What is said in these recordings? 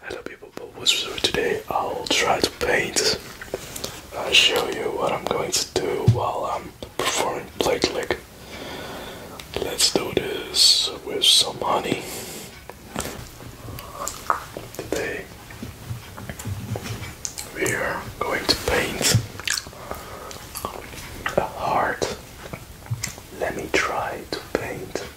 Hello people, what's up today? I'll try to paint. I'll show you what I'm going to do while I'm performing plate lick. Let's do this with some honey. Today we are going to paint a heart. Let me try to paint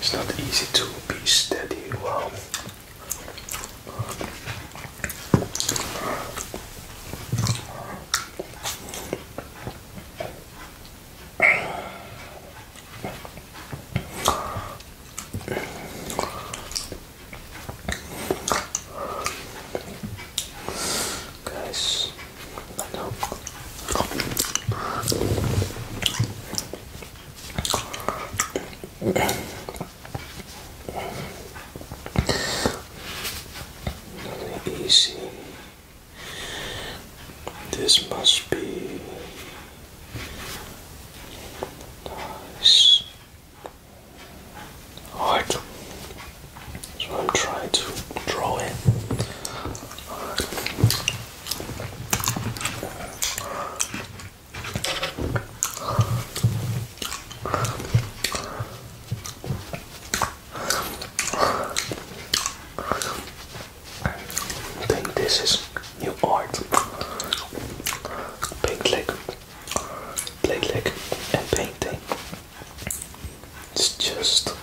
It's not easy to be steady Well, guys Nothing easy. This must be nice. Hard. So I'm trying to draw it. I think this is new art. Pink lick, plate lick, and painting. It's just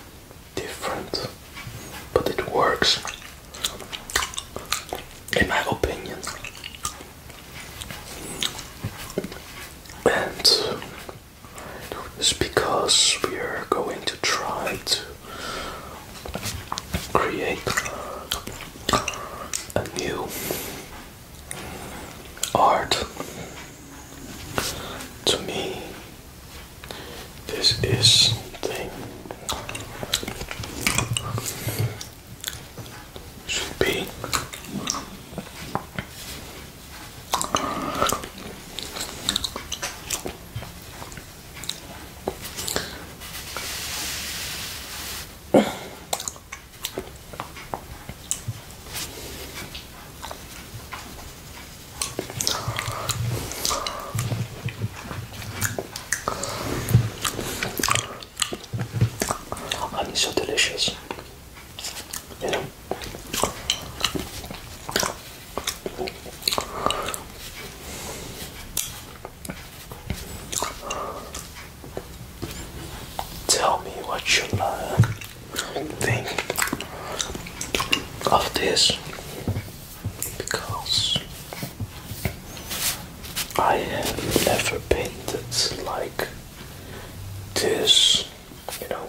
different, but it works in my opinion. And it's because we are going to try to create a new art. To me, this is something should be I so delicious, Tell me what you uh, think of this because I have never painted like this, you know.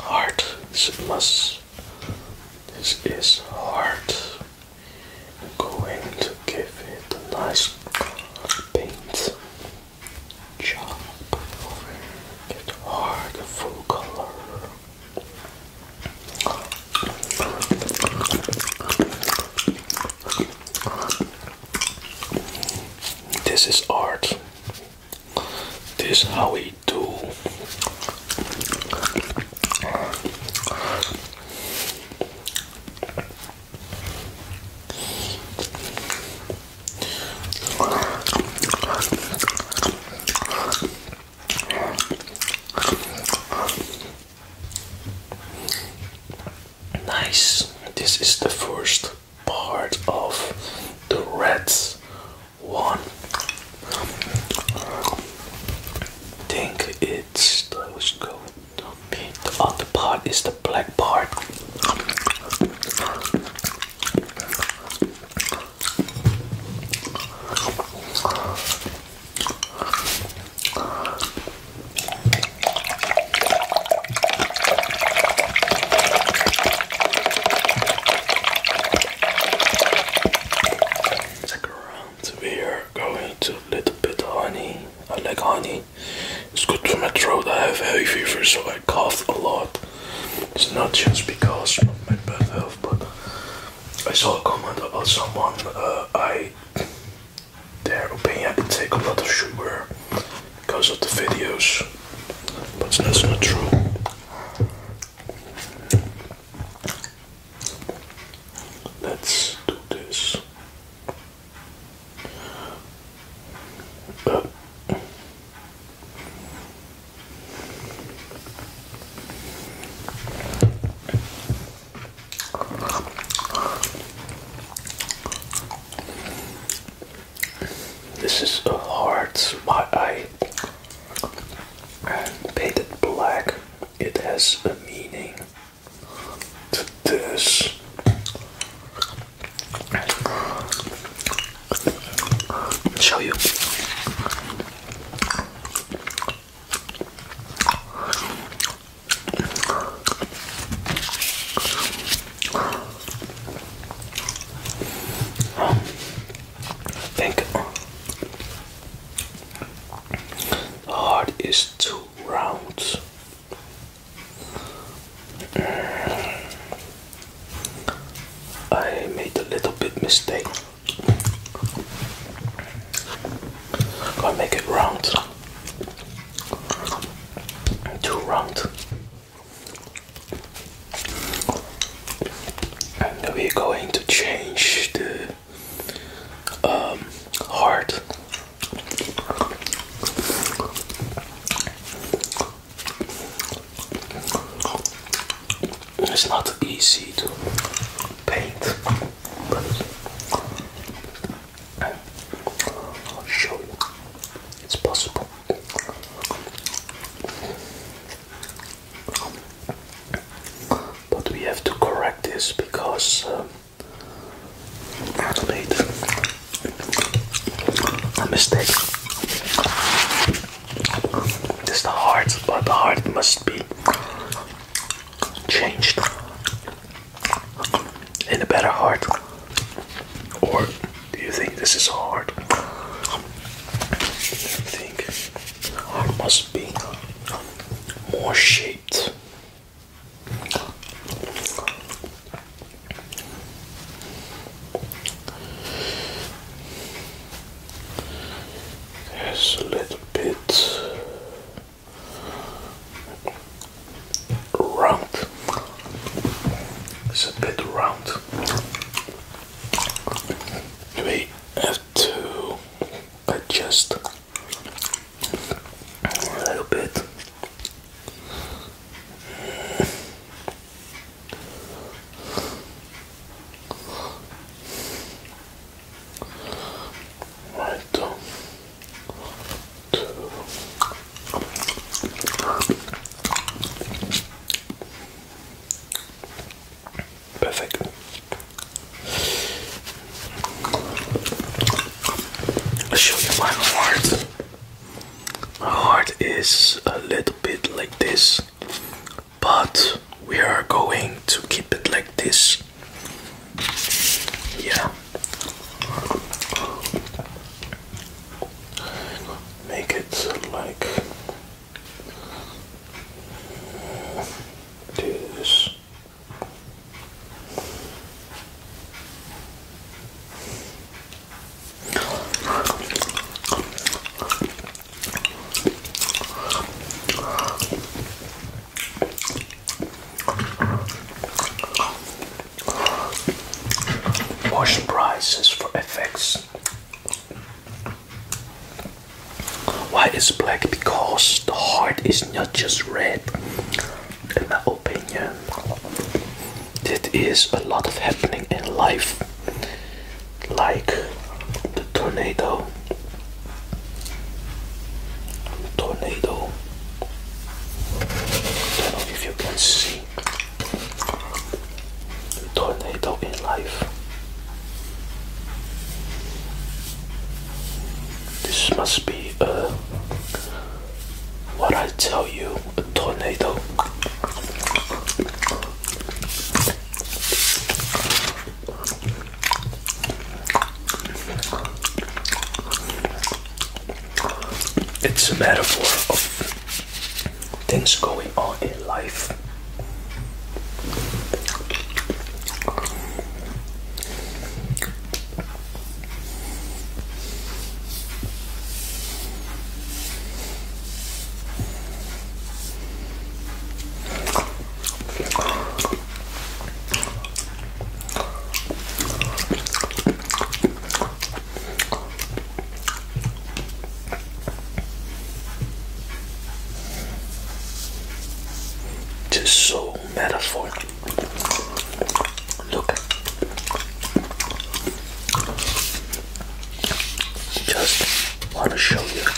Hard. This must. This is hard. going to give it a nice paint job. Get hard, full color. This is art. This is how we do. Nice. This is the first part of the red one think it's let's go the other part is the black part Check around. We are going to a little bit of honey. I like honey. It's good for my throat. I have a high fever, so I cough a lot. It's not just because of my bad health, but I saw a comment about someone. Uh, I their opinion I take a lot of sugar because of the videos, but that's not true. Let's do this. Uh. This is a heart. spot. I painted black. It has a meaning to this. show you think the heart is too round. I made a little bit mistake. got make it round. Too round and we're going to change the um, heart it's not easy to paint but I'll show you it's possible but we have to correct this because um, I made a mistake. This the heart, but the heart must be changed in a better heart or do you think this is hard? I think it must be more shaped. There's a little bit round. It's a bit round we have to adjust a little bit. Right, Perfect. i show you my heart. My heart is a little bit like this, but we are going to keep it like this. Yeah make it like uh, this. Wash prices for effects. Why is black? Because the heart is not just red. In my opinion, it is a lot of happening in life, like the tornado. Tornado. I don't know if you can see tornado in life. This must be uh, what I tell you a tornado. It's a metaphor of things going on in life. Just so metaphor. Look. Just want to show you.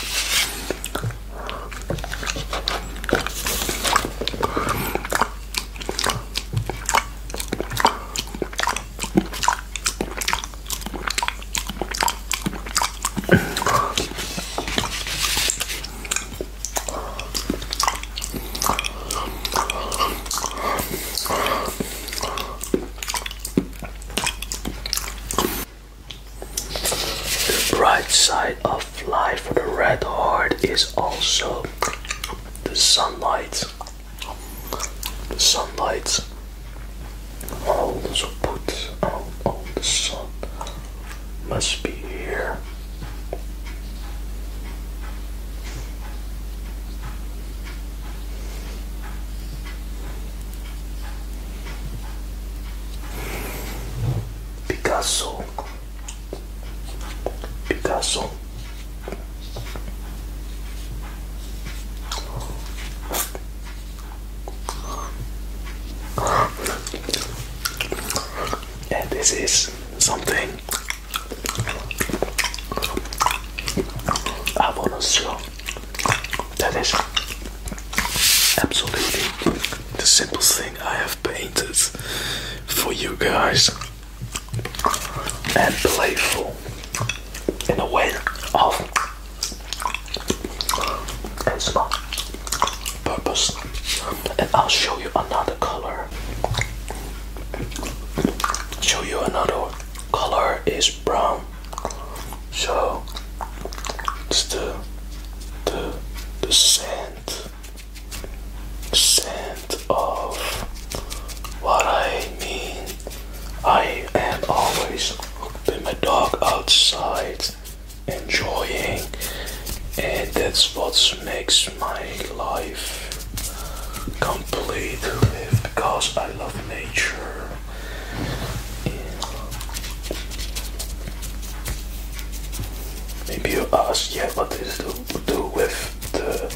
The bright side of life for the red heart is also the sunlight. The sunlight also puts out all the sun. Must be here. Picasso. Picasso. And this is something I want to show that is absolutely the simplest thing I have painted for you guys and playful in a way of and purpose. And I'll show you another color. Show you another color is brown. So it's the the the scent scent of what I mean I am always with my dog outside enjoying and that's what makes my life complete with because I love nature. Maybe you ask, yeah, what is to do with the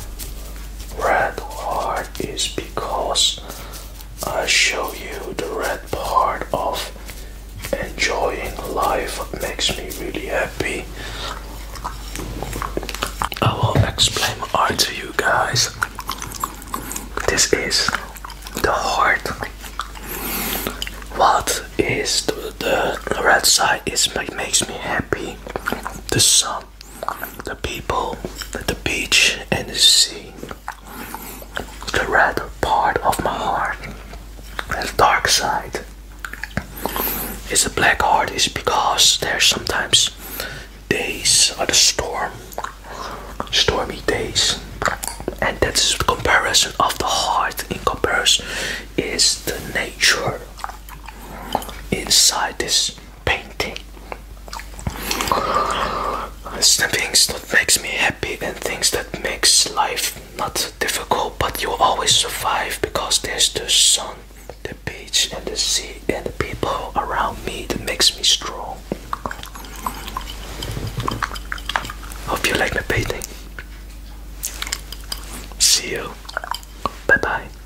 red heart is because I show you the red part of enjoying life what makes me really happy. I will explain art to you guys. This is the heart. What is the, red side is what makes me happy. The sun the people, the beach, and the sea. The red part of my heart, the dark side. It's a black heart is because there are sometimes days of the storm, stormy days, and that's the comparison of the heart. In comparison, is the nature inside this painting. It's the things that makes me happy and things that makes life not difficult, but you always survive because there's the sun, the beach, and the sea, and the people around me that makes me strong. Hope you like my painting. See you. Bye bye.